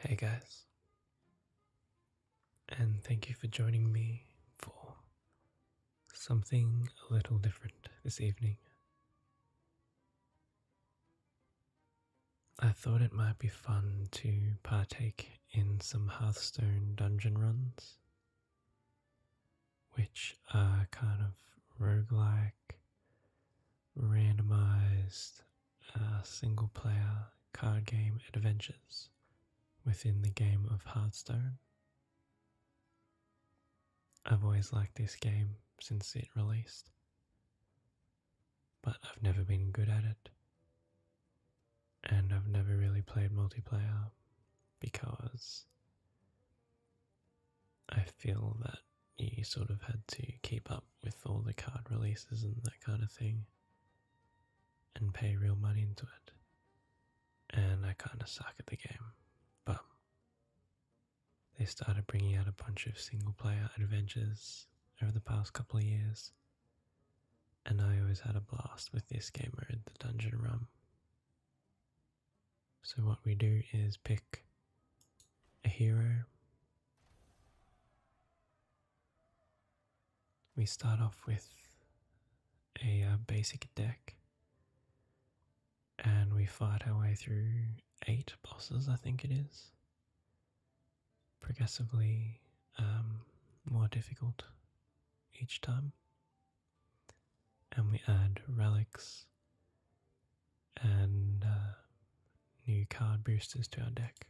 Hey guys, and thank you for joining me for something a little different this evening. I thought it might be fun to partake in some Hearthstone dungeon runs, which are kind of rogue-like, randomized, uh, single player card game adventures within the game of Hearthstone. I've always liked this game since it released but I've never been good at it. And I've never really played multiplayer because I feel that you sort of had to keep up with all the card releases and that kind of thing and pay real money into it. And I kind of suck at the game. But they started bringing out a bunch of single player adventures over the past couple of years and I always had a blast with this game mode, the dungeon run. So, what we do is pick a hero. We start off with a uh, basic deck and we fight our way through eight bosses, I think it is progressively um, more difficult each time. And we add relics and uh, new card boosters to our deck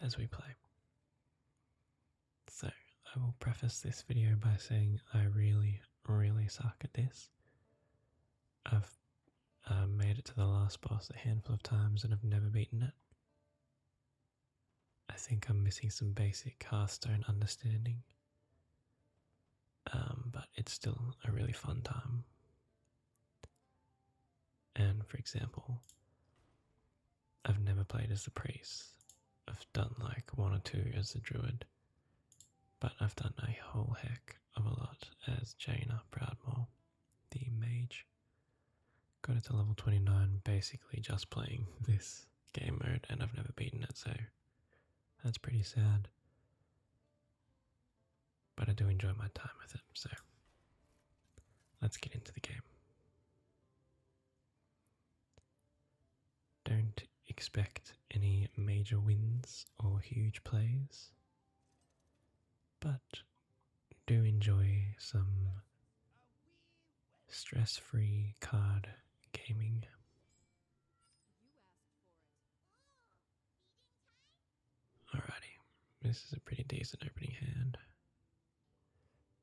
as we play. So, I will preface this video by saying I really, really suck at this. I've uh, made it to the last boss a handful of times and I've never beaten it. I think I'm missing some basic cast stone understanding. Um, but it's still a really fun time. And for example, I've never played as a priest. I've done like one or two as a druid, but I've done a whole heck of a lot as Jaina Proudmore, the mage. Got it to level 29 basically just playing this game mode and I've never beaten it so that's pretty sad. But I do enjoy my time with it so let's get into the game. Don't expect any major wins or huge plays but do enjoy some stress free card gaming. Alrighty, this is a pretty decent opening hand,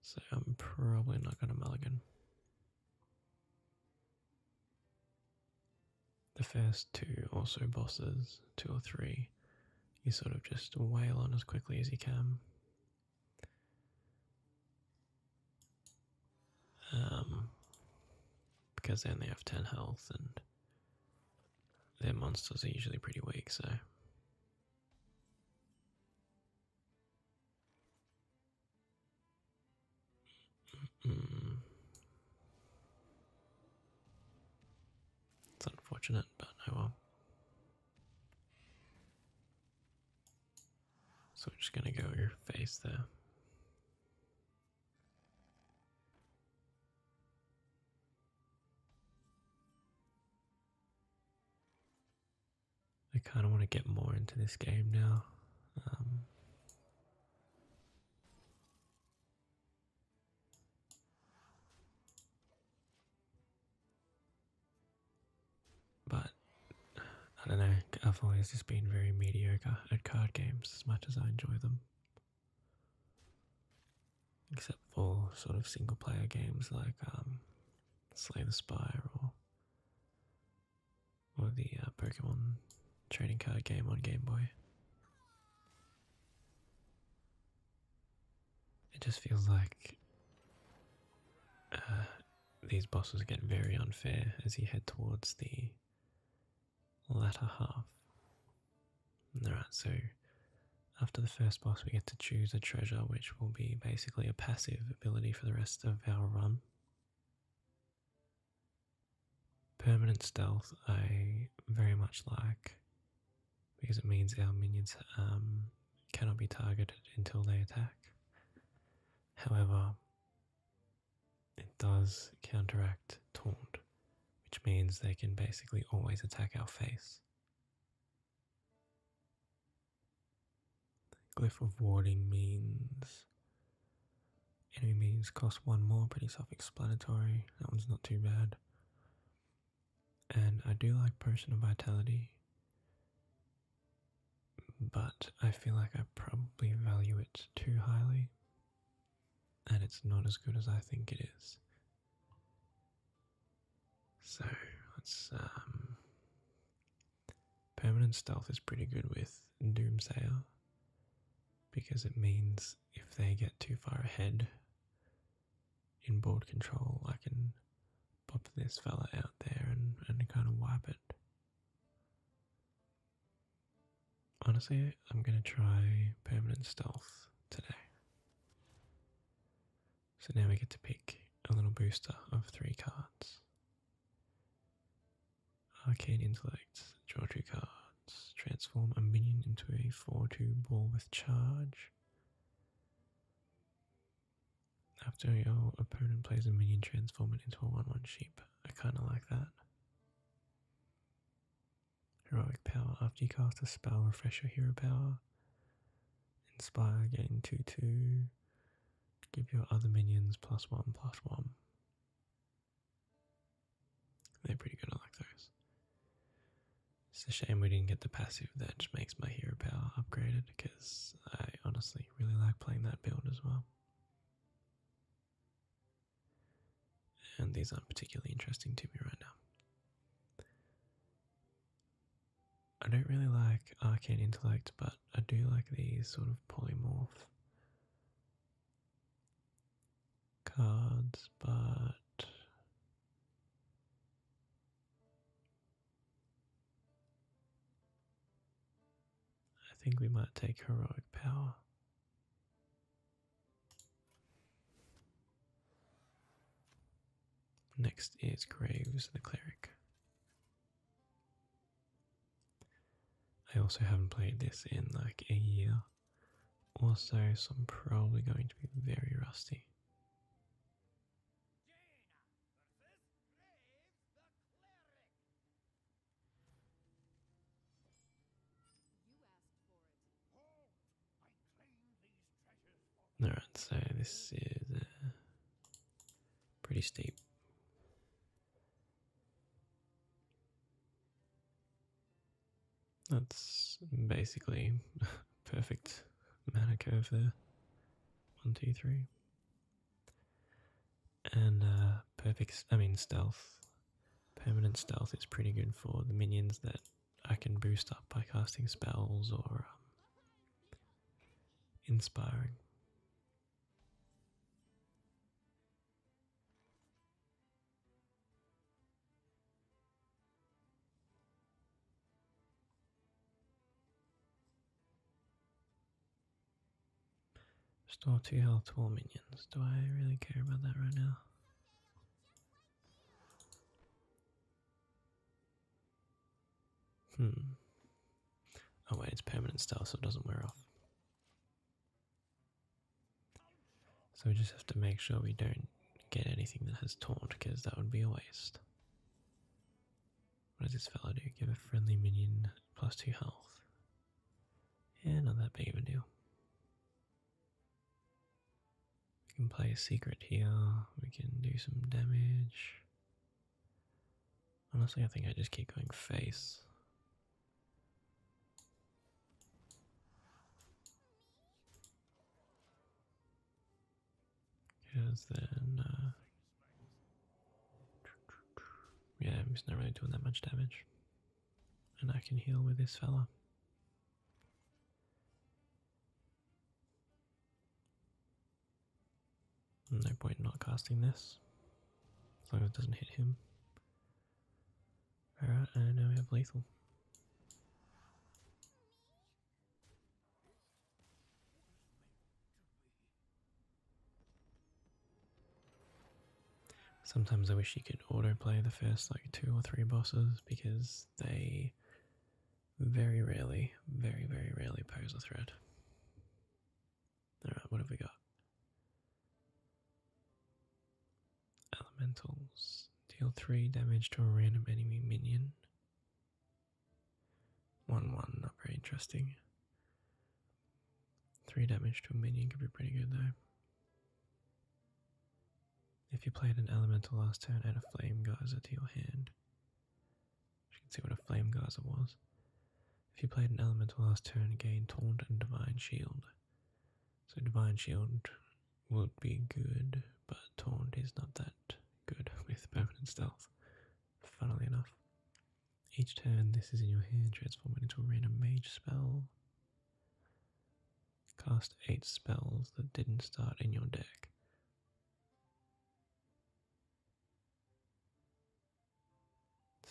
so I'm probably not going to mulligan. The first two also bosses, two or three, you sort of just wail on as quickly as you can. Um, because they only have 10 health and their monsters are usually pretty weak, so. It's unfortunate, but I will. So we're just gonna go your face there. I kind of want to get more into this game now. Um. But I don't know, I've always just been very mediocre at card games as much as I enjoy them. Except for sort of single player games like um, Slay the Spire or, or the uh, Pokemon trading card game on Game Boy. It just feels like uh, these bosses get very unfair as you head towards the latter half. Alright, so after the first boss, we get to choose a treasure, which will be basically a passive ability for the rest of our run. Permanent stealth, I very much like because it means our minions um, cannot be targeted until they attack. However, it does counteract taunt, which means they can basically always attack our face. The glyph of warding means enemy minions cost one more, pretty self explanatory. That one's not too bad. And I do like personal vitality, but I feel like I probably value it too highly, and it's not as good as I think it is. So um, permanent stealth is pretty good with Doomsayer because it means if they get too far ahead in board control, I can pop this fella out there and, kind of wipe it. Honestly, I'm going to try permanent stealth today. So now we get to pick a little booster of three cards. Arcane Intellect, draw two Transform a minion into a 4 2 ball with charge. After your opponent plays a minion, transform it into a 1 1 sheep. I kind of like that. Heroic power. After you cast a spell, refresh your hero power. Inspire, gain 2 2. Give your other minions plus 1 plus 1. They're pretty good. I like those. It's a shame we didn't get the passive that just makes my hero power upgraded because I honestly really like playing that build as well. And these aren't particularly interesting to me right now. I don't really like Arcane Intellect, but I do like these sort of polymorph cards, but I think we might take heroic power. Next is Graves the Cleric. I also haven't played this in like a year, also, so I'm probably going to be very rusty. Alright, so this is uh, pretty steep. That's basically perfect mana curve there. One, two, three. And uh, perfect, I mean, stealth. Permanent stealth is pretty good for the minions that I can boost up by casting spells or um, inspiring. Store two health war minions. Do I really care about that right now? Hmm. Oh wait, it's permanent stealth, so it doesn't wear off. So we just have to make sure we don't get anything that has taunt, because that would be a waste. What does this fellow do? Give a friendly minion plus two health. Yeah, not that big of a deal. We can play a secret here, we can do some damage. Honestly, I think I just keep going face. Because then, uh, yeah, he's not really doing that much damage, and I can heal with this fella. No point in not casting this, as long as it doesn't hit him. Alright, and now we have lethal. Sometimes I wish you could auto-play the first like two or three bosses because they very rarely, very, very rarely pose a threat. Alright, what have we got? Elementals deal 3 damage to a random enemy minion. 1 1, not very interesting. 3 damage to a minion could be pretty good though. If you played an elemental last turn, add a flame geyser to your hand. You can see what a flame geyser was. If you played an elemental last turn, gain taunt and divine shield. So divine shield would be good, but Taunt is not that good with permanent stealth, funnily enough. Each turn this is in your hand, transform it into a random mage spell. Cast 8 spells that didn't start in your deck.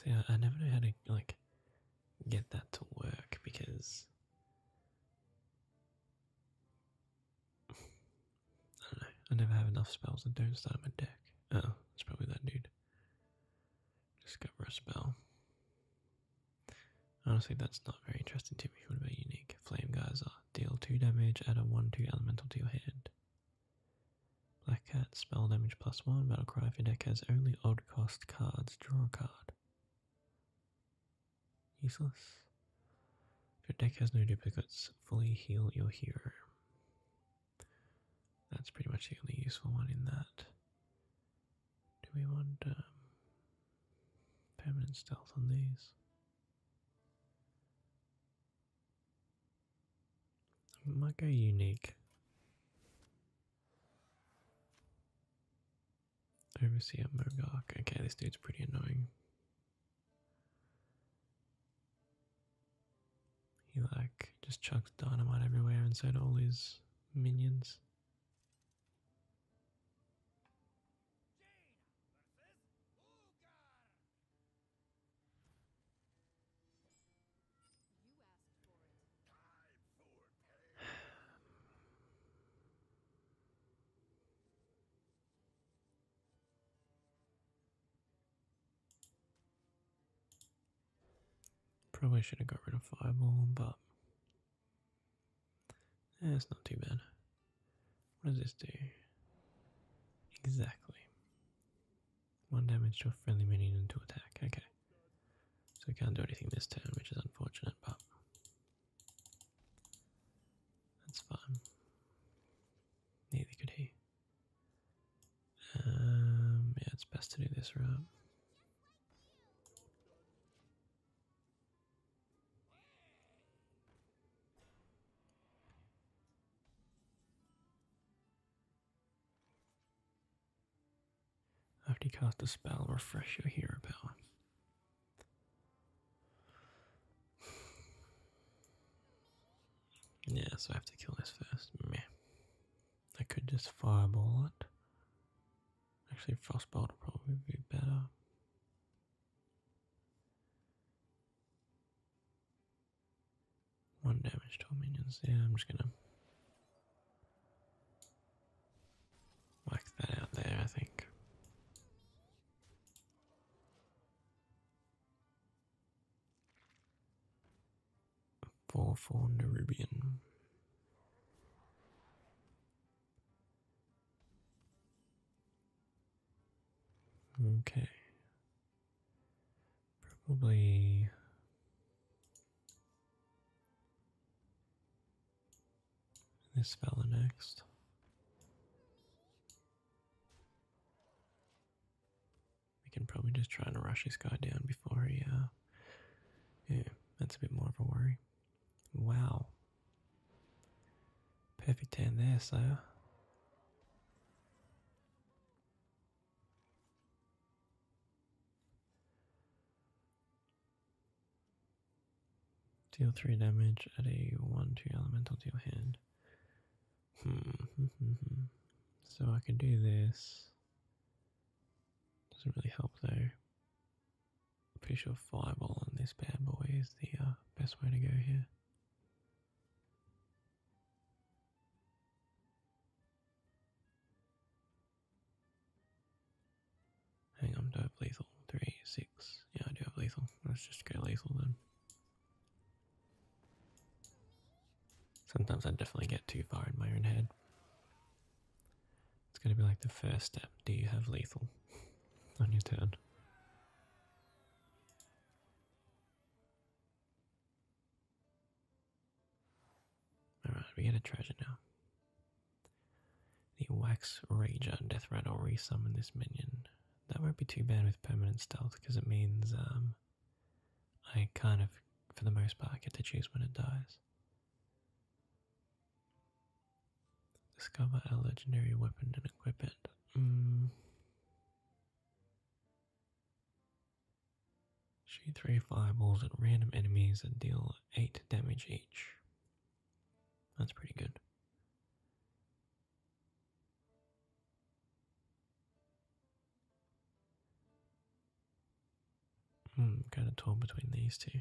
See, I, I never know how to, like, get that to work because I don't know. I never have enough spells that don't start my deck. Oh, it's probably that dude. Discover a spell. Honestly, that's not very interesting to me. What about unique? Flame Geyser. Deal 2 damage, add a 1 2 elemental to your hand. Black Cat, spell damage plus 1. Battle Cry. If your deck has only odd cost cards, draw a card. Useless. If your deck has no duplicates, fully heal your hero. That's pretty much the only useful one in that. Do we want feminine um, stealth on these? It might go unique. Overseer Mogok. Okay, this dude's pretty annoying. He like just chucks dynamite everywhere and so all his minions. Probably should have got rid of Fireball, but eh, it's not too bad. What does this do? Exactly. One damage to a friendly minion and to attack. Okay. So we can't do anything this turn, which is unfortunate, but that's fine. Neither could he. Um, yeah, it's best to do this route. After you cast a spell, refresh your hero power. Yeah, so I have to kill this first. Meh. I could just fireball it. Actually, frostbolt would probably be better. One damage to all minions. Yeah, I'm just gonna Whack that out there, I think. Four for Nerubian. Okay. Probably this fella next. We can probably just try and rush this guy down before he, uh, yeah, that's a bit more of a worry. Wow. Perfect hand there, Slayer. Deal 3 damage at a 1 2 elemental deal hand. Hmm, hmm, hmm, hmm. so I can do this. Doesn't really help though. I'm pretty sure Fireball on this bad boy is the uh, best way to go here. Hang on, do I have lethal? Three, six. Yeah, I do have lethal. Let's just go lethal then. Sometimes I definitely get too far in my own head. It's going to be like the first step. Do you have lethal on your turn? Alright, we get a treasure now. The Wax Rager Death Rattle resummon this minion. That won't be too bad with permanent stealth because it means um, I kind of, for the most part, get to choose when it dies. Discover a legendary weapon and equip it. Mm. Shoot three fireballs at random enemies that deal 8 damage each. That's pretty good. Hmm, kind of torn between these two.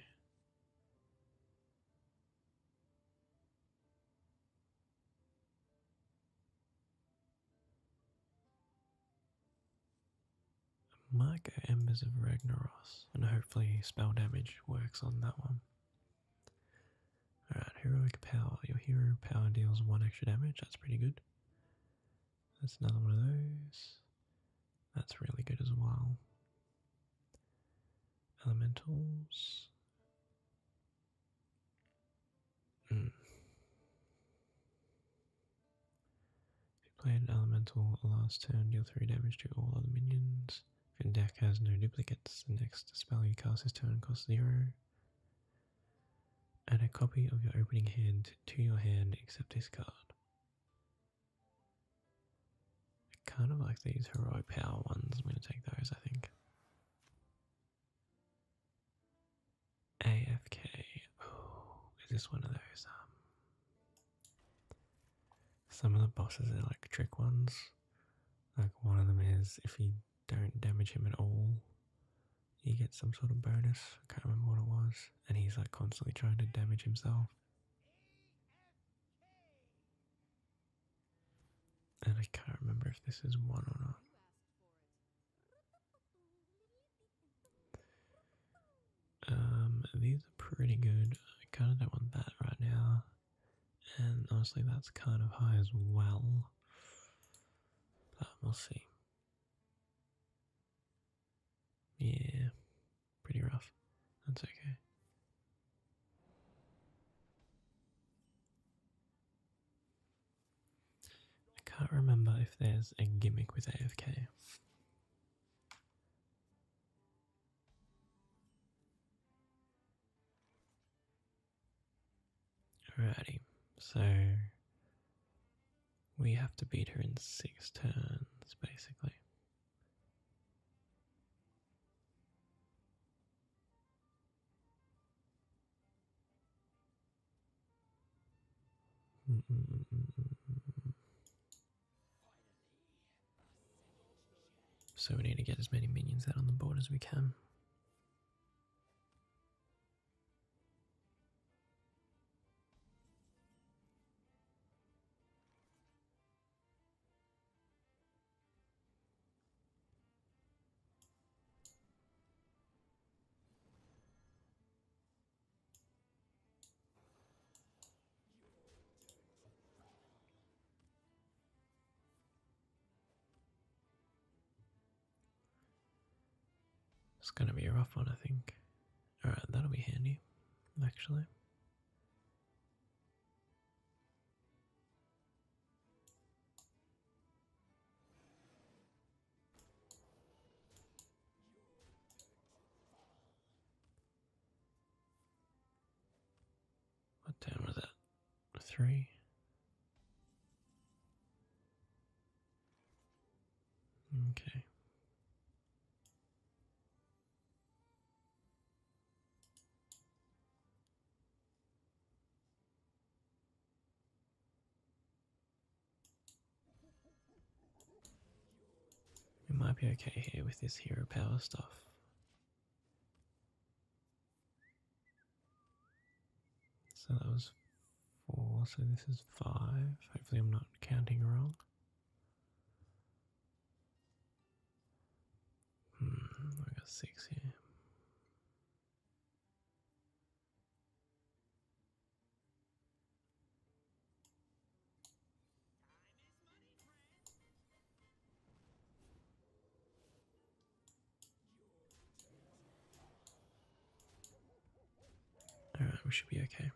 Mark Embers of Ragnaros and hopefully spell damage works on that one. Alright, heroic power. Your hero power deals one extra damage, that's pretty good. That's another one of those. That's really good as well. Elementals. Mm. played elemental last turn, deal 3 damage to all other minions. If your deck has no duplicates, the next spell you cast this turn costs zero. Add a copy of your opening hand to your hand except this card. kind of like these heroic power ones. I'm going to take those, I think. AFK. Oh, is this one of those? Um, some of the bosses are like trick ones. Like one of them is if you don't damage him at all, he gets some sort of bonus. I can't remember what it was. And he's like constantly trying to damage himself. And I can't remember if this is one or not. Um, these are pretty good. I kind of don't want that right now. And honestly, that's kind of high as well. But we'll see. Yeah, pretty rough. That's okay. I can't remember if there's a gimmick with AFK. Alrighty, so we have to beat her in six turns basically. So we need to get as many minions out on the board as we can. It's gonna be a rough one, I think. Alright, that'll be handy, actually. What time was that? Three? Okay. It might be okay here with this hero power stuff. So that was four, so this is five. Hopefully, I'm not counting wrong. Hmm, I got six here. All right, we should be okay.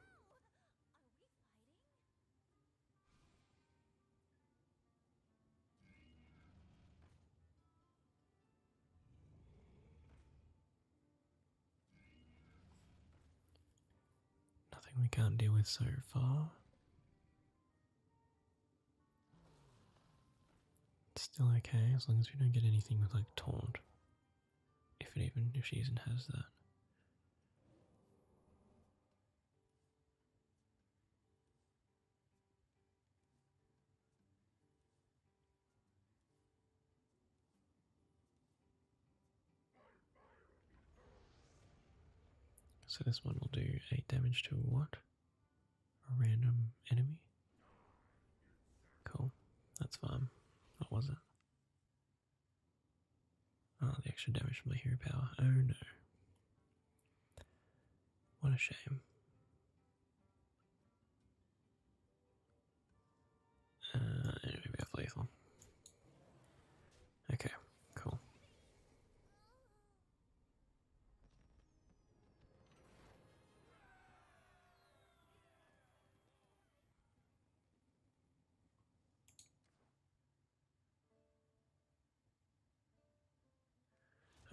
Nothing we can't deal with so far. still okay as long as we don't get anything with like taunt. If it even if she even has that. So this one will do 8 damage to what? A random enemy? Cool, that's fine. What was it? Oh, the extra damage from my hero power. Oh no. What a shame. Uh, anyway, lethal. Okay, cool.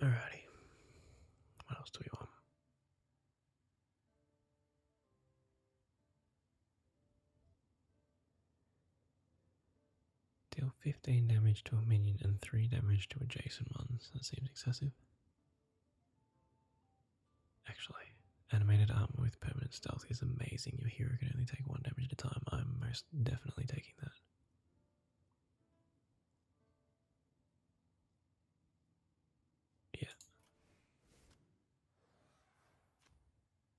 Alrighty. What else do we want? Deal 15 damage to a minion and 3 damage to adjacent ones. That seems excessive. Actually, animated armor with permanent stealth is amazing. Your hero can only take 1 damage at a time. I'm most definitely taking that. Yeah.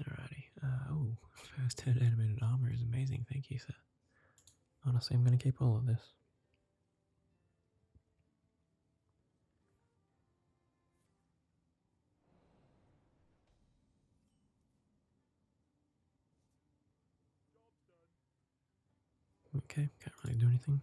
Alrighty. oh, fast head animated armor is amazing. Thank you, sir. Honestly, I'm going to keep all of this. Okay, can't really do anything.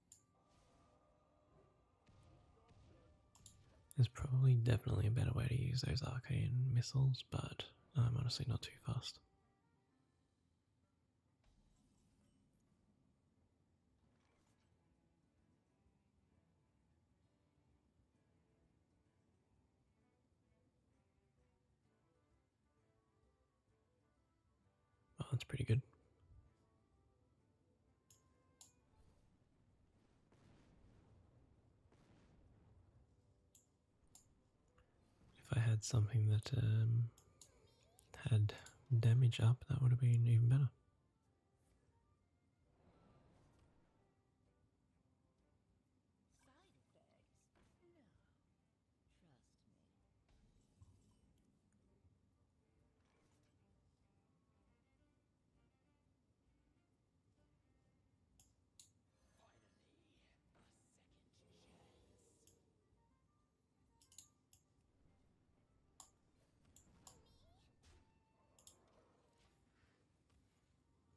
There's probably definitely a better way to use those arcane missiles, but I'm honestly not too fast. Oh, that's pretty good. If I had something that um, had damage up, that would have been even better.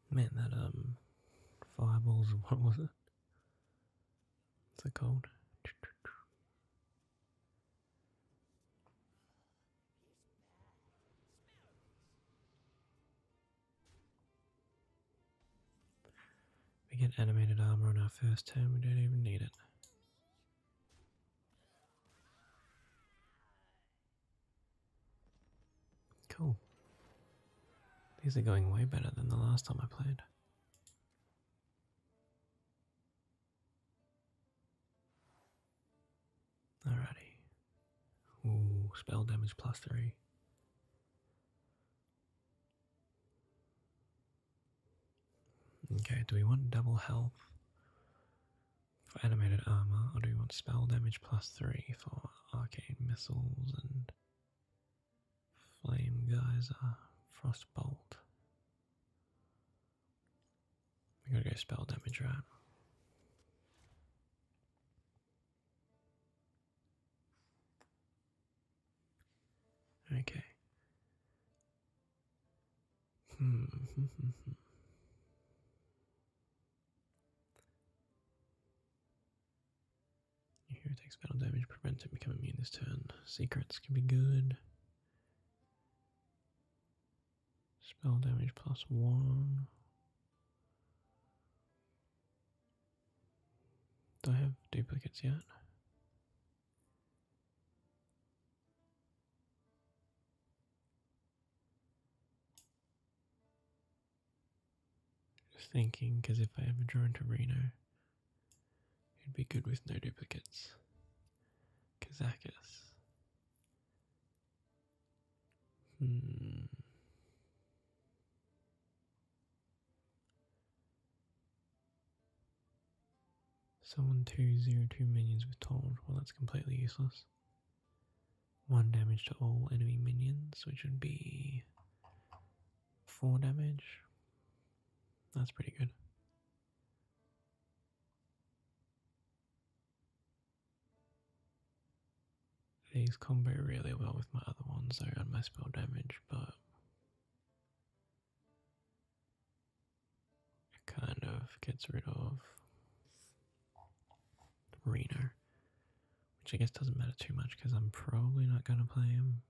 Man, that um, fireballs. What was it? What's it called? We get animated armor on our first turn, we don't even need it. Cool. These are going way better than the last time I played. Alrighty. Ooh, spell damage plus three. Okay, do we want double health for animated armor, or do we want spell damage plus three for arcane missiles and flame geyser, frost bolt? I gotta get spell damage right. Okay. Hmm. Your hero takes battle damage, prevent it becoming immune this turn. Secrets can be good. Spell damage plus one. Do I have duplicates yet? Just thinking, because if I ever draw a Reno, it'd be good with no duplicates. Kazakus. Hmm. Someone 202 minions with Taunt. Well, that's completely useless. 1 damage to all enemy minions, which would be 4 damage. That's pretty good. These combo really well with my other ones though and my spell damage, but it kind of gets rid of Reno, which I guess doesn't matter too much because I'm probably not going to play him,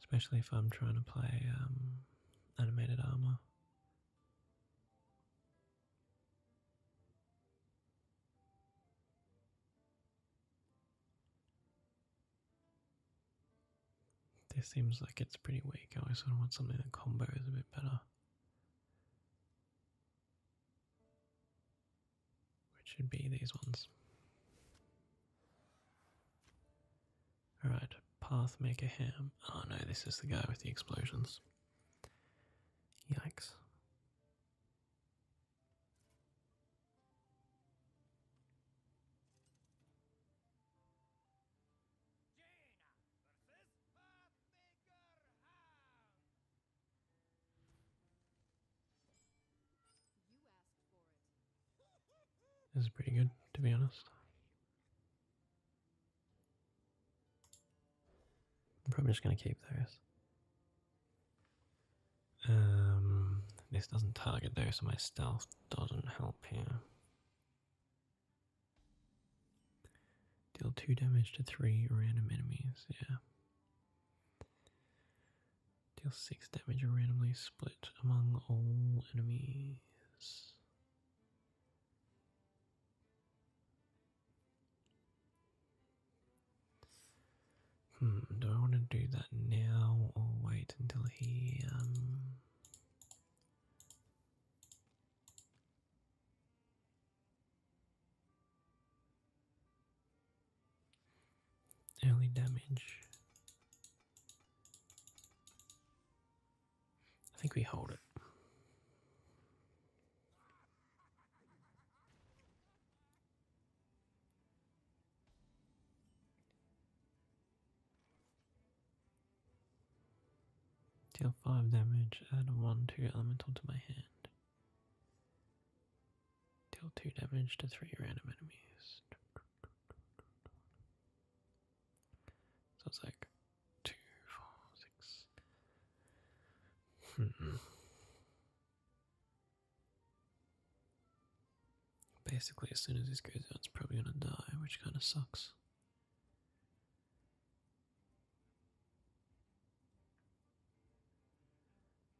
especially if I'm trying to play um, animated armor. This seems like it's pretty weak. I always sort of want something that combo is a bit better. Which should be these ones. Alright, Pathmaker Ham. Oh no, this is the guy with the explosions. Yikes. This is pretty good, to be honest. I'm probably just going to keep those. Um, this doesn't target though, so my stealth doesn't help here. Deal 2 damage to 3 random enemies, yeah. Deal 6 damage randomly split among all enemies. Hmm, do I want to do that now or wait until he um early damage I think we hold it. Deal 5 damage, add 1 2 elemental to my hand. Deal 2 damage to 3 random enemies. So it's like two, four, six. Hmm. Basically, as soon as this goes out, it's probably gonna die, which kind of sucks.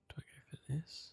Do I go for this?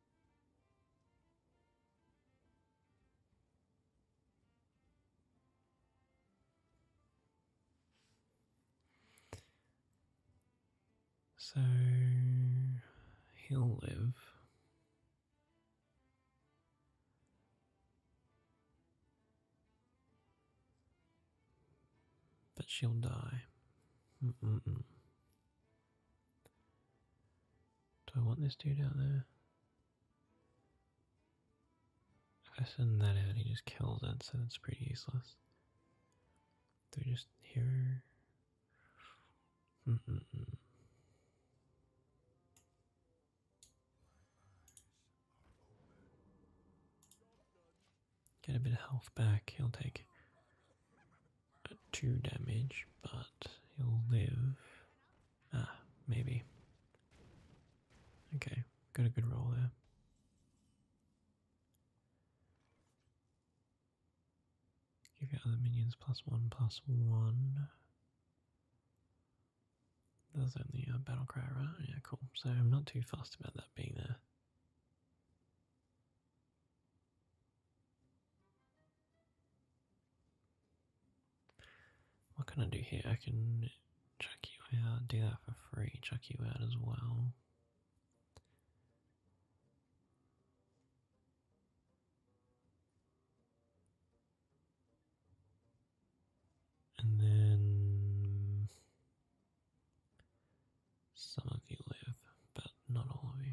So he'll live. But she'll die. Do I want this dude out there? If I send that out, he just kills it, so it's pretty useless. They're just here. Get a bit of health back. He'll take two damage, but he'll live. Ah, maybe. Okay, got a good roll there. Give your other minions plus one, plus one. That's only a battle cry, right? Yeah, cool. So I'm not too fast about that being there. What can I do here? I can chuck you out, do that for free, chuck you out as well. And then some of you live, but not all of you.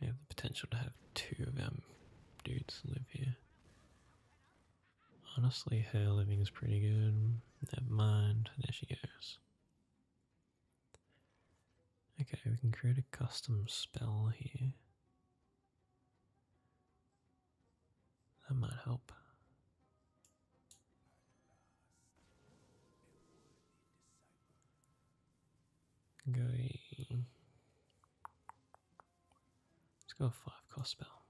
you have the potential to have two of them dudes live here. Honestly, her living is pretty good. Never mind, there she goes. Okay, we can create a custom spell here. That might help. Going Let's go five cost spell.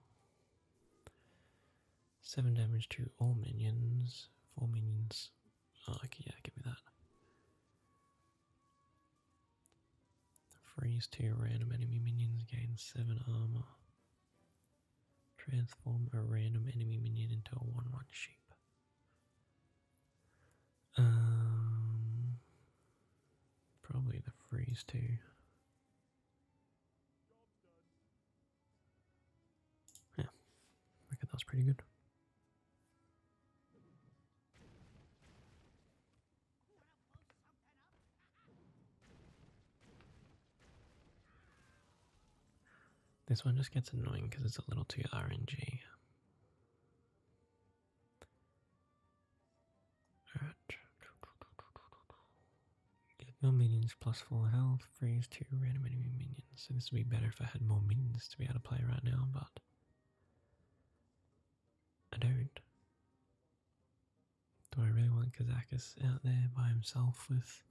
Seven damage to all minions. Four minions. Oh, yeah, give me that. Freeze two random enemy minions, gain seven armor. Transform a random enemy minion into a 1 1 sheep. Um, probably the freeze too. Yeah, I reckon that's pretty good. This one just gets annoying because it's a little too RNG no minions plus full health, freeze two random enemy minions. So this would be better if I had more minions to be able to play right now, but I don't. Do I really want Kazakus out there by himself with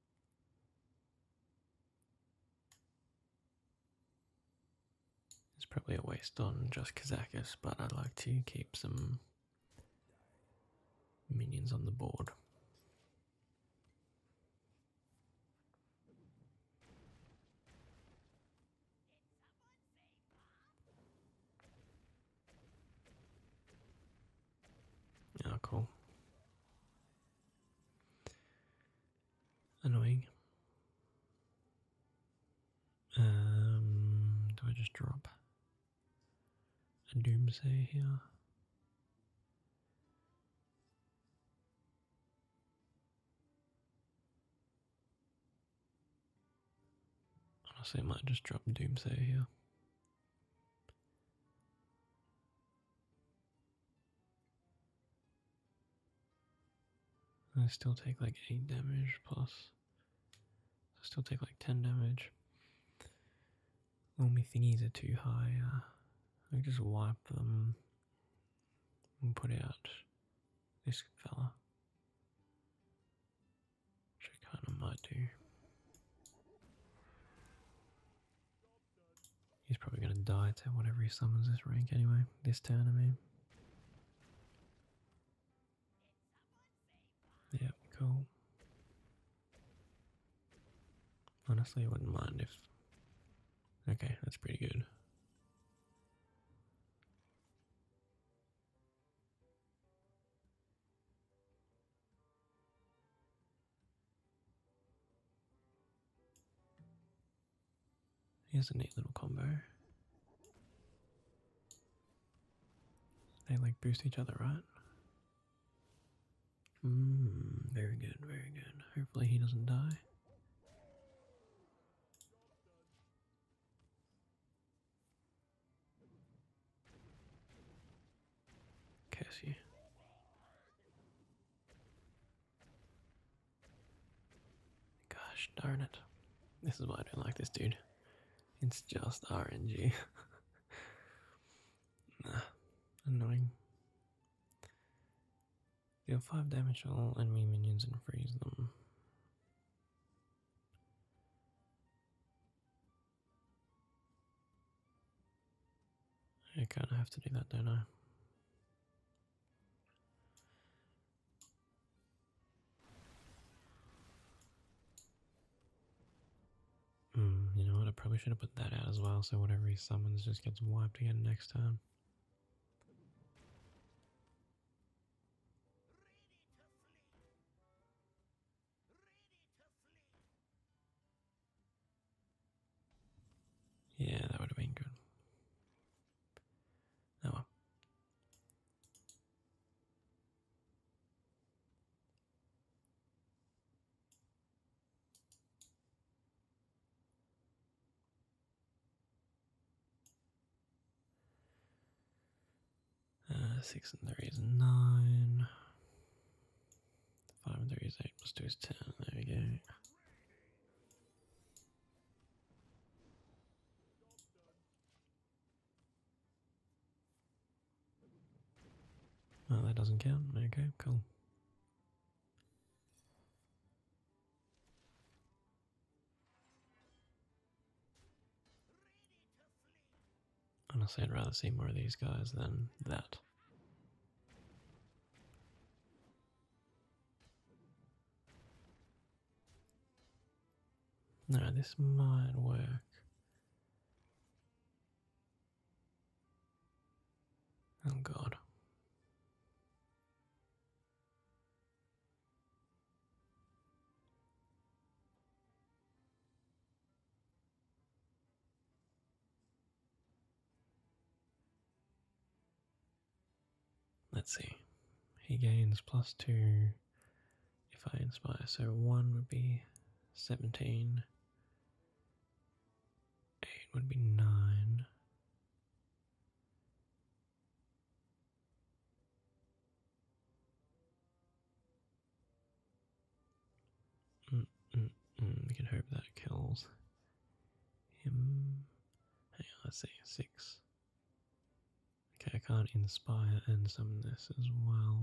It's probably a waste on just Kazakis, but I'd like to keep some minions on the board. Oh, cool. Annoying. Um, do I just drop a doomsay here? Honestly, I might just drop doomsay here. I still take like 8 damage plus. I still take like 10 damage. Only thingies are too high. Uh, I just wipe them and put out this fella. Which I kind of might do. He's probably going to die to whatever he summons this rank anyway, this turn I mean. Yeah, cool. Honestly, I wouldn't mind if... Okay, that's pretty good. Here's a neat little combo. They like boost each other, right? Hmm, very good, very good. Hopefully he doesn't die. Cassie. Gosh darn it. This is why I don't like this dude. It's just RNG. nah, annoying. Deal 5 damage to all enemy minions and freeze them. I kind of have to do that, don't I? Mm, you know what? I probably should have put that out as well, so whatever he summons just gets wiped again next time. Yeah, that would have been good. Oh uh, six and three is nine. Five and three is eight plus two is ten. There we go. Oh, that doesn't count. Okay, cool. Honestly, I'd rather see more of these guys than that. No, this might work. Oh god. Let's see. He gains plus two if I inspire. So one would be 17, eight would be nine. Mm, mm, mm, mm We can hope that kills him. Hang on, let's Six. Okay, I can't inspire and summon this as well.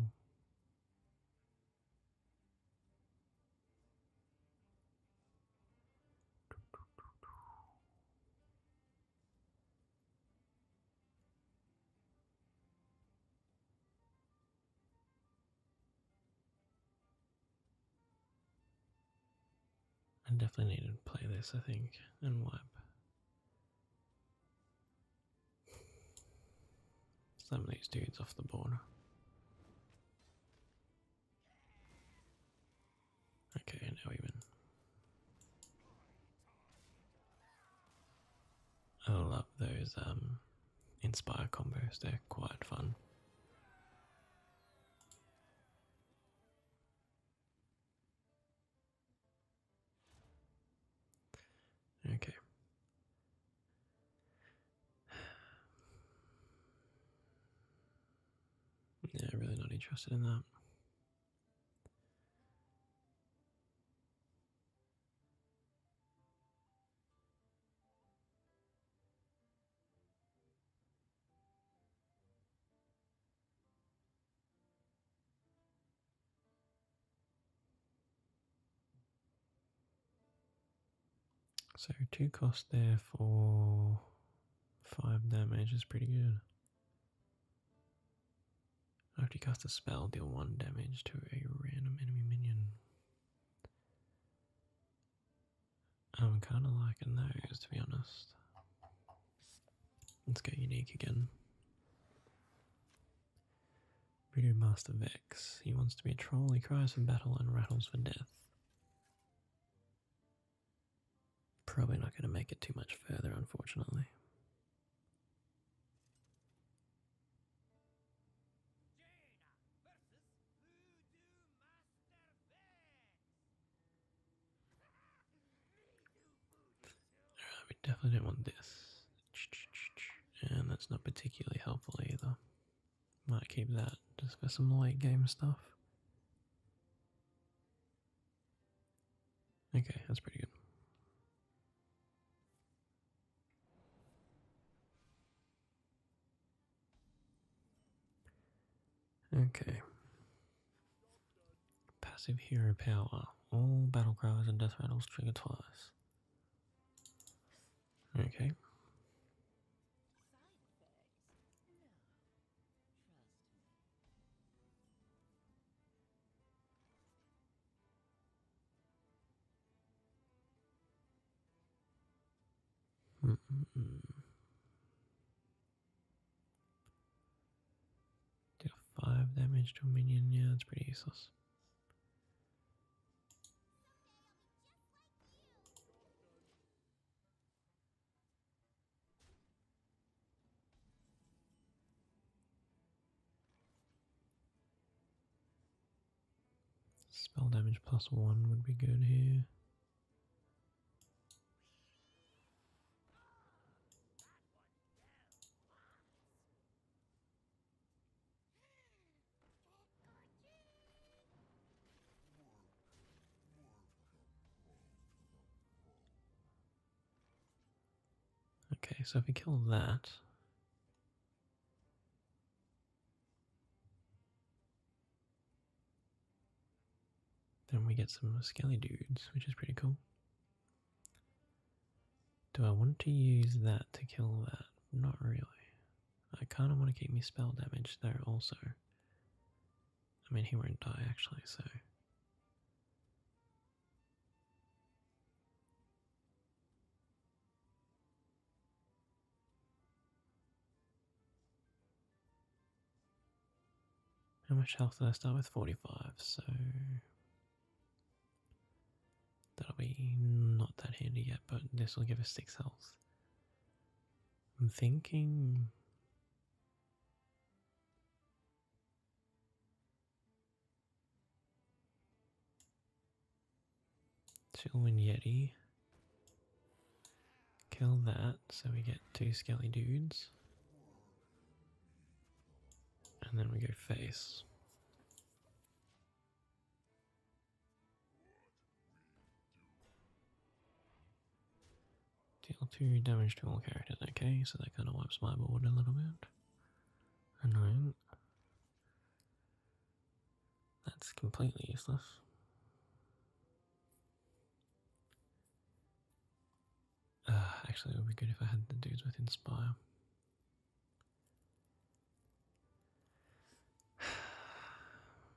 I definitely need to play this, I think, and wipe. Some of these dudes off the board. Okay, now we I love those um inspire combos, they're quite fun. Okay. Yeah, really not interested in that. So two cost there for five damage is pretty good. After you cast a spell, deal one damage to a random enemy minion. I'm kind of liking those, to be honest. Let's get unique again. Voodoo Master Vex. He wants to be a troll, he cries for battle and rattles for death. Probably not going to make it too much further, unfortunately. we definitely didn't want this. And that's not particularly helpful either. Might keep that just for some late game stuff. Okay, that's pretty good. Okay. Passive hero power. All battle cries and death rattle trigger twice. Okay. Mm five damage to a minion. Yeah, that's pretty useless. Spell damage plus one would be good here. Okay, so if we kill that, then we get some skelly dudes, which is pretty cool. Do I want to use that to kill that? Not really. I kind of want to keep me spell damage there also. I mean, he won't die actually, so. How much health did I start with? 45, so that'll be not that handy yet, but this will give us 6 health. I'm thinking. Chillwin Yeti. Kill that, so we get two skelly dudes. And then we go face. Deal 2 damage to all characters, okay, so that kind of wipes my board a little bit. Annoying. That's completely useless. Uh, actually, it would be good if I had the dudes with Inspire.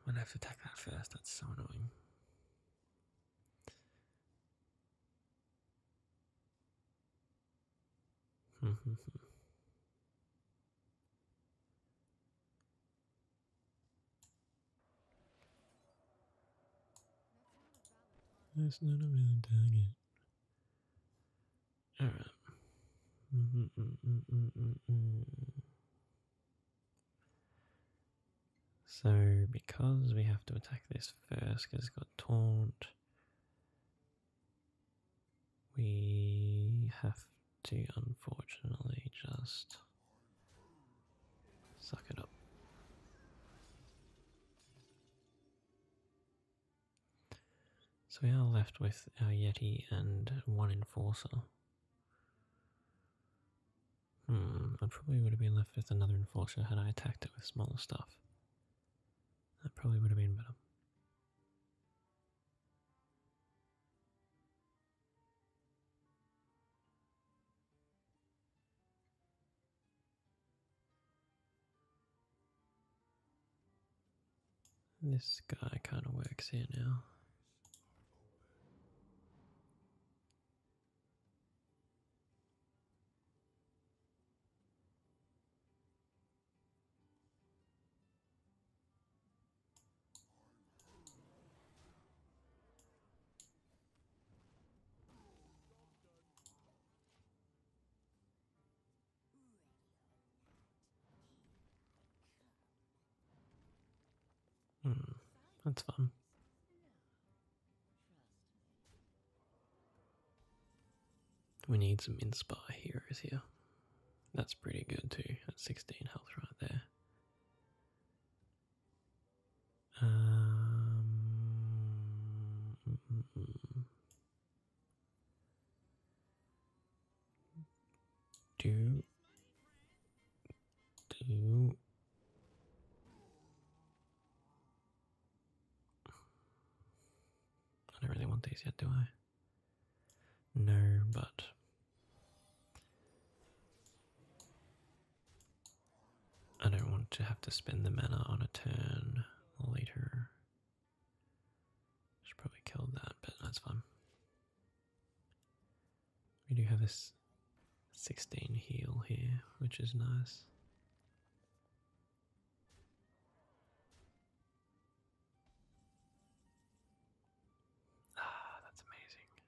I'm have to attack that first, that's so annoying. Mm-hmm. That's not a valid target. Mm-hmm. so, because we have to attack this first, because it's got taunt, we have to unfortunately just suck it up. So we are left with our Yeti and one Enforcer. Hmm, I probably would have been left with another Enforcer had I attacked it with smaller stuff. That probably would have been better. This guy kind of works here now. Hmm, that's fun. We need some Inspire Heroes here. That's pretty good too, at 16 health right there. Um, mm, mm, mm. Do do I don't really want these yet, do I? No, but I don't want to have to spend the mana on a turn later. Should probably kill that, but that's fine. We do have a 16 heal here, which is nice. Ah, that's amazing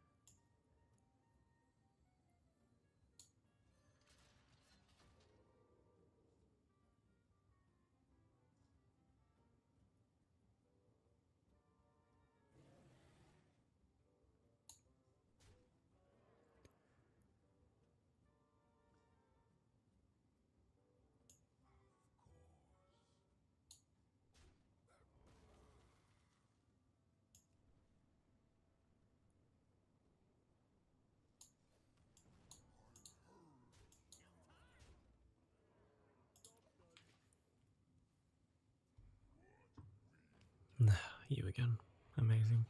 you again. Amazing.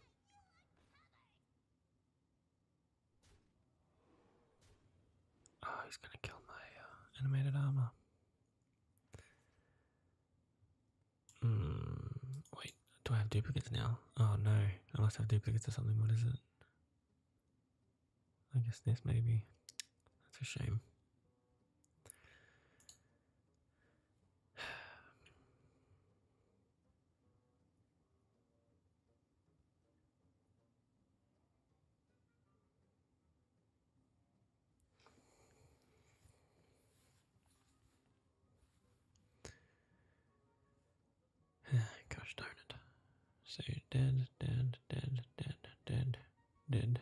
Oh, he's gonna kill my uh, animated armor. Mm, wait, do I have duplicates now? Oh no, I must have duplicates or something. What is it? I guess this maybe. That's a shame. Gosh darn it. So dead, dead, dead, dead, dead, dead. Dead.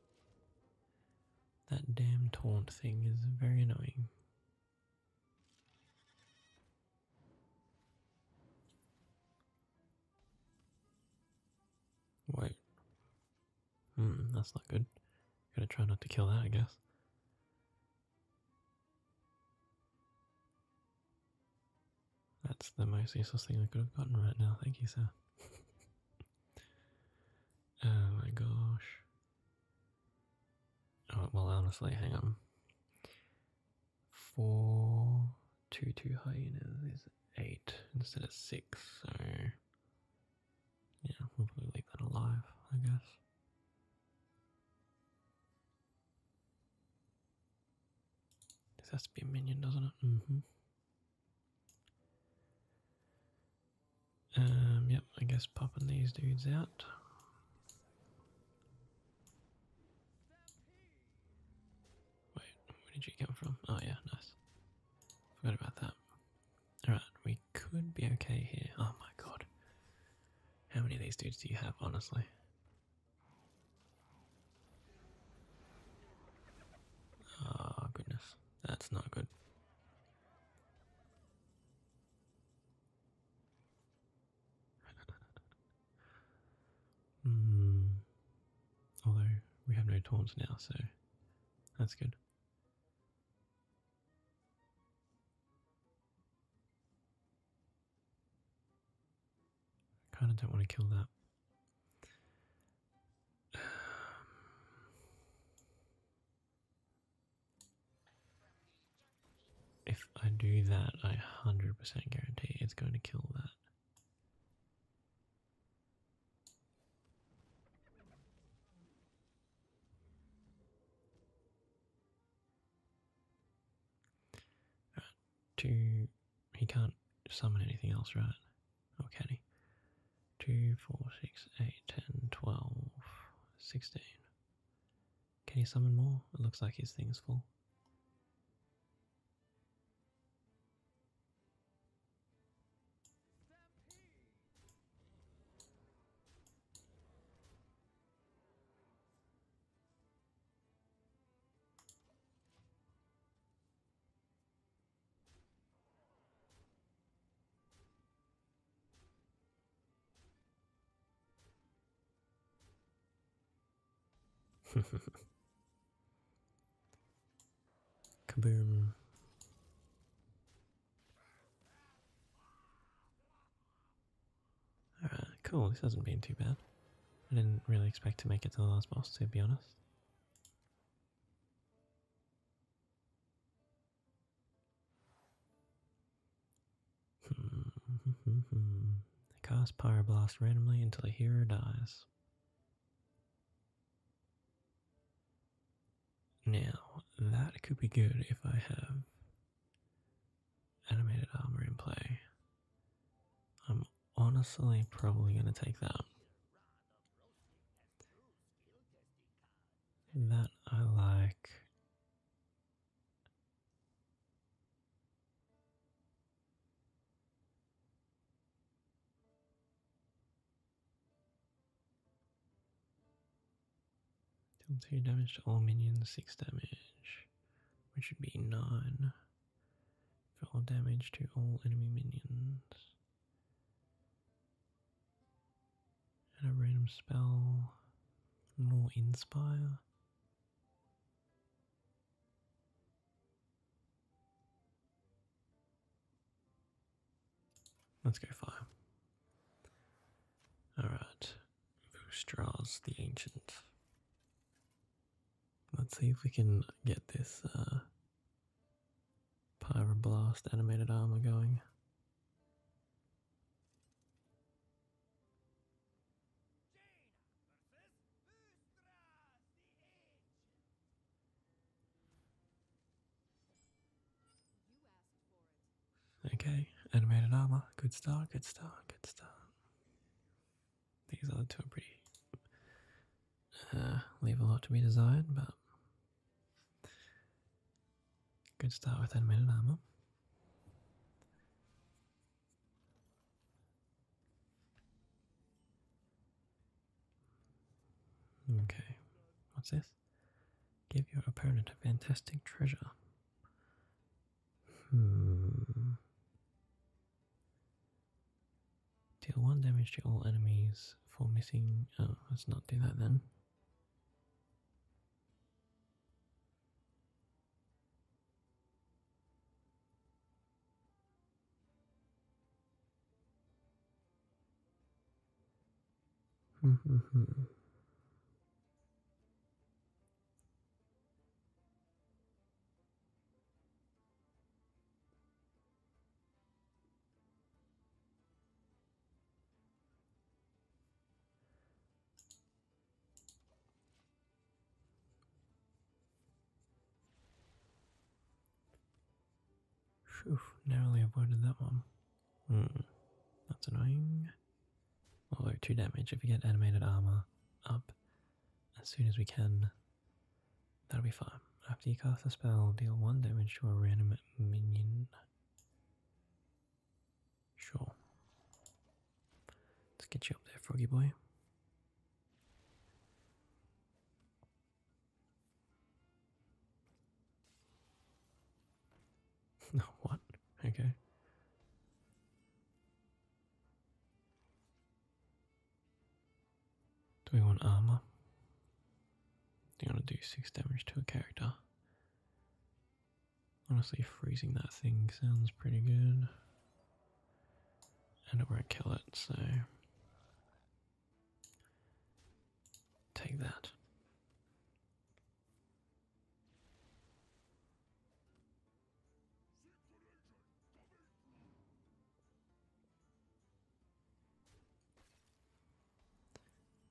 That damn taunt thing is very annoying. Wait. Hmm, that's not good. Gotta try not to kill that, I guess. That's the most useless thing I could have gotten right now. Thank you, sir. oh my gosh. Oh, well, honestly, hang on. Four, two, two hyenas is eight instead of six, so yeah, we leave that alive, I guess. This has to be a minion, doesn't it? Mm-hmm. Um, yep, I guess popping these dudes out. Wait, where did you come from? Oh yeah, nice. Forgot about that. Alright, we could be okay here. Oh my god. How many of these dudes do you have, honestly? Oh, goodness. That's not good. mm. Although we have no taunts now, so that's good. I kind of don't want to kill that. if I do that, I 100% guarantee it's going to kill that. two he can't summon anything else, right? Or can he? 2, 4, 6, 8, 10, 12, 16. Can he summon more? It looks like his thing is full. Kaboom. Alright, cool, this hasn't been too bad. I didn't really expect to make it to the last boss, to be honest. I hmm. cast Pyroblast randomly until the hero dies. Now, that could be good if I have animated armor in play. I'm honestly probably going to take that. That I like. Deal damage to all minions, 6 damage, which would be 9 for all damage to all enemy minions. And a random spell, more inspire. Let's go fire. Alright, draws the Ancient. Let's see if we can get this uh, Pyroblast animated armor going. Okay, animated armor. Good start, good start, good start. These other two are pretty. Uh, leave a lot to be desired, but. Good start with middle armor. Okay, what's this? Give your opponent a fantastic treasure. Hmm. Deal 1 damage to all enemies for missing. Oh, let's not do that then. narrowly avoided that one. Hmm, that's annoying. Although, 2 damage if we get animated armor up as soon as we can, That'll be fine. After you cast the spell, deal one damage to a random minion. Sure. Let's get you up there, Froggy Boy. No, what? Okay. Do we want armor? Do you want to do six damage to a character? Honestly, freezing that thing sounds pretty good. And it won't kill it, so. Take that.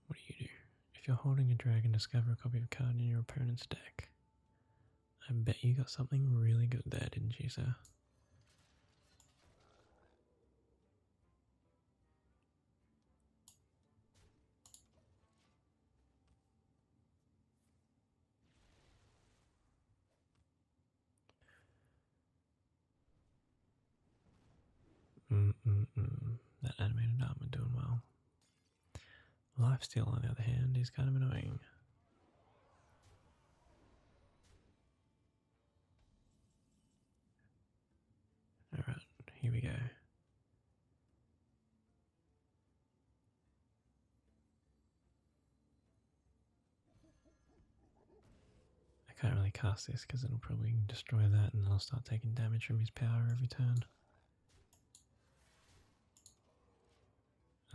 What do you do? If you're holding a dragon, discover a copy of a card in your opponent's deck. I bet you got something really good there, didn't you, sir? Mm That animated diamond doing well. Lifesteal, on the other hand, is kind of annoying. Alright, here we go. I can't really cast this because it'll probably destroy that and I'll start taking damage from his power every turn.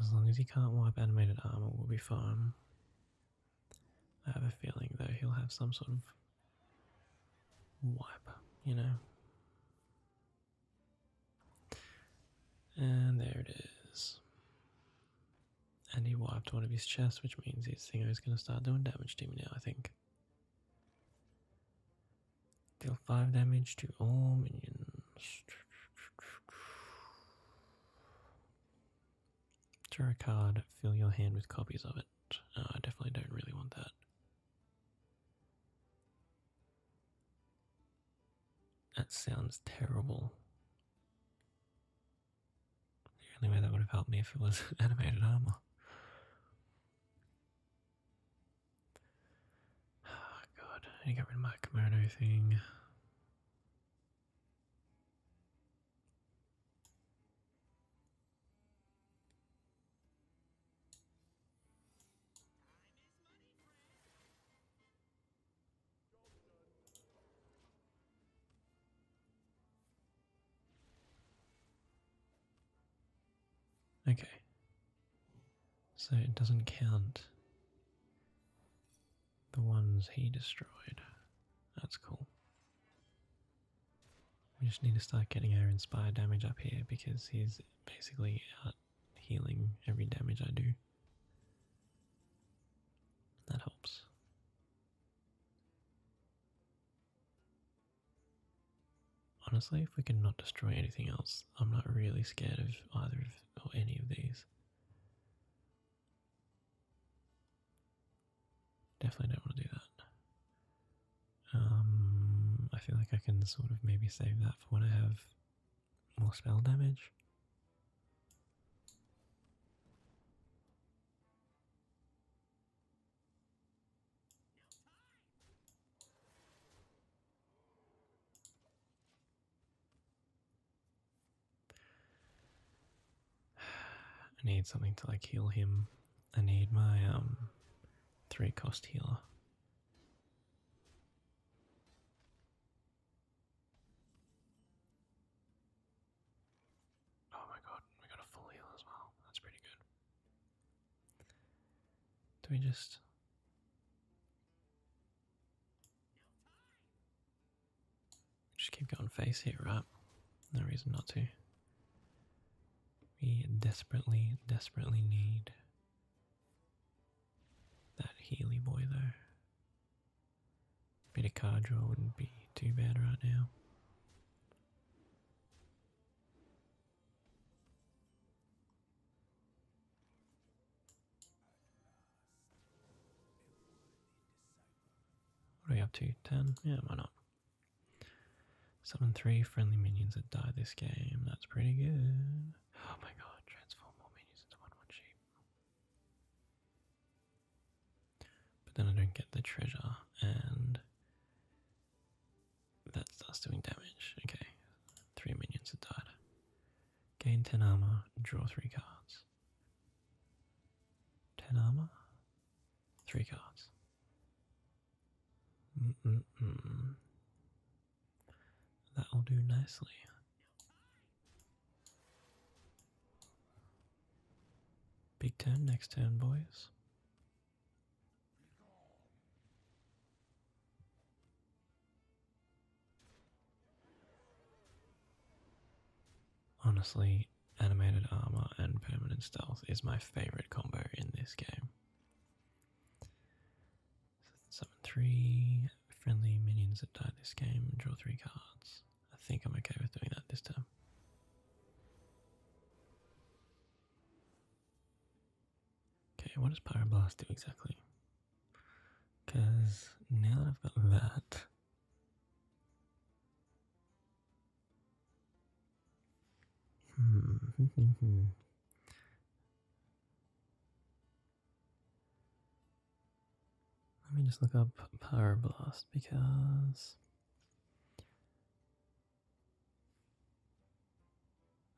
As long as he can't wipe animated armor, we'll be fine. I have a feeling though he'll have some sort of wipe, you know. And there it is. And he wiped one of his chests, which means his thing is going to start doing damage to me now, I think. Deal 5 damage to all minions. Draw a card, fill your hand with copies of it. I definitely don't really want that. That sounds terrible. The only way that would have helped me if it was animated armor. Oh god, I need to get rid of my kimono thing. Okay. So it doesn't count the ones he destroyed. That's cool. We just need to start getting our inspired damage up here because he's basically out healing every damage I do. That helps. Honestly, if we can not destroy anything else, I'm not really scared of either of or any of these. Definitely don't want to do that. Um, I feel like I can sort of maybe save that for when I have more spell damage. I need something to like heal him. I need my um three cost healer. Oh my god, we got a full heal as well. That's pretty good. Do we just. just keep going face here, right? No reason not to. We desperately, desperately need that Healy boy, though. Bit of card draw wouldn't be too bad right now. What are we up to? 10? Yeah, why not? Seven, three friendly minions that died this game. That's pretty good. Oh my god, transform minions into one one sheep. But then I don't get the treasure, and that starts doing damage. Okay, three minions have died. Gain 10 armor, draw three cards. 10 armor, three cards. That'll do nicely. Big ten next ten, boys. Honestly, animated armor and permanent stealth is my favorite combo in this game. Summon three friendly minions that die this game, draw three cards. I think I'm okay with doing that this time. Okay, what does blast do exactly? Because now that I've got that, hmm, hmm, hmm, let me just look up Power Blast because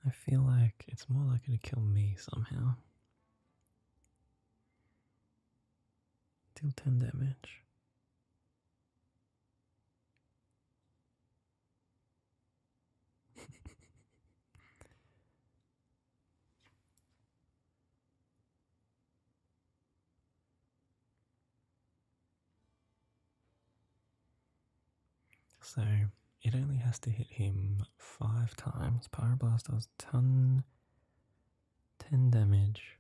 I feel like it's more likely to kill me somehow. Deal 10 damage. So it only has to hit him five times. Pyroblast does ton, 10 damage.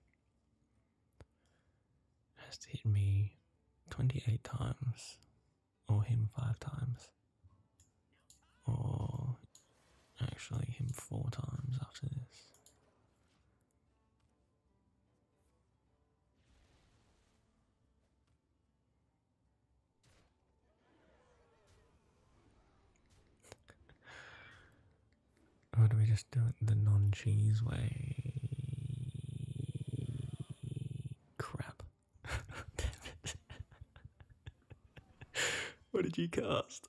has to hit me 28 times, or him five times, or actually him four times after this. or do we just do it the non cheese way? Crap. what did you cast?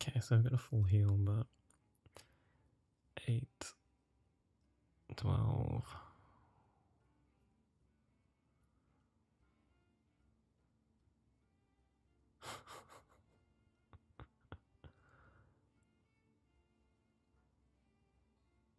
Okay, so I've got a full heal, but 8, 12.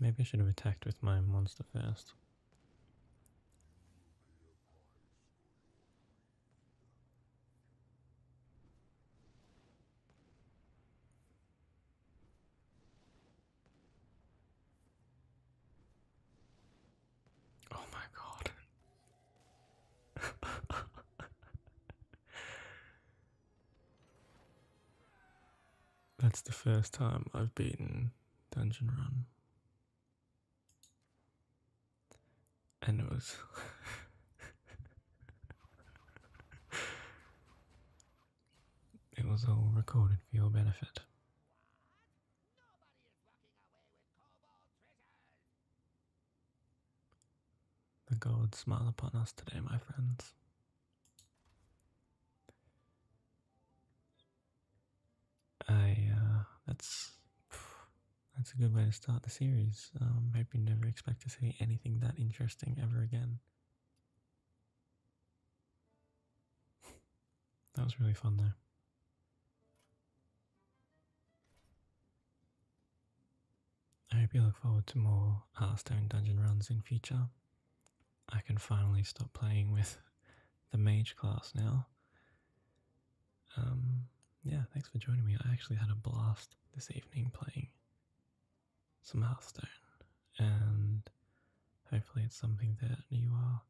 Maybe I should have attacked with my monster first. Oh my god. That's the first time I've beaten Dungeon Run. And it was. it was all recorded for your benefit. The gods smile upon us today, my friends. I uh, that's that's a good way to start the series. Um hope you never expect to see anything that interesting ever again. That was really fun, though. I hope you look forward to more Hearthstone dungeon runs in future. I can finally stop playing with the mage class now. Um, yeah, thanks for joining me. I actually had a blast this evening playing some Hearthstone, and hopefully, it's something that you are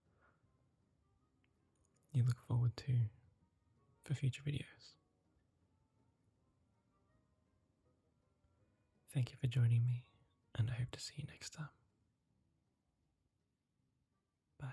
you look forward to for future videos. Thank you for joining me, and I hope to see you next time. Bye.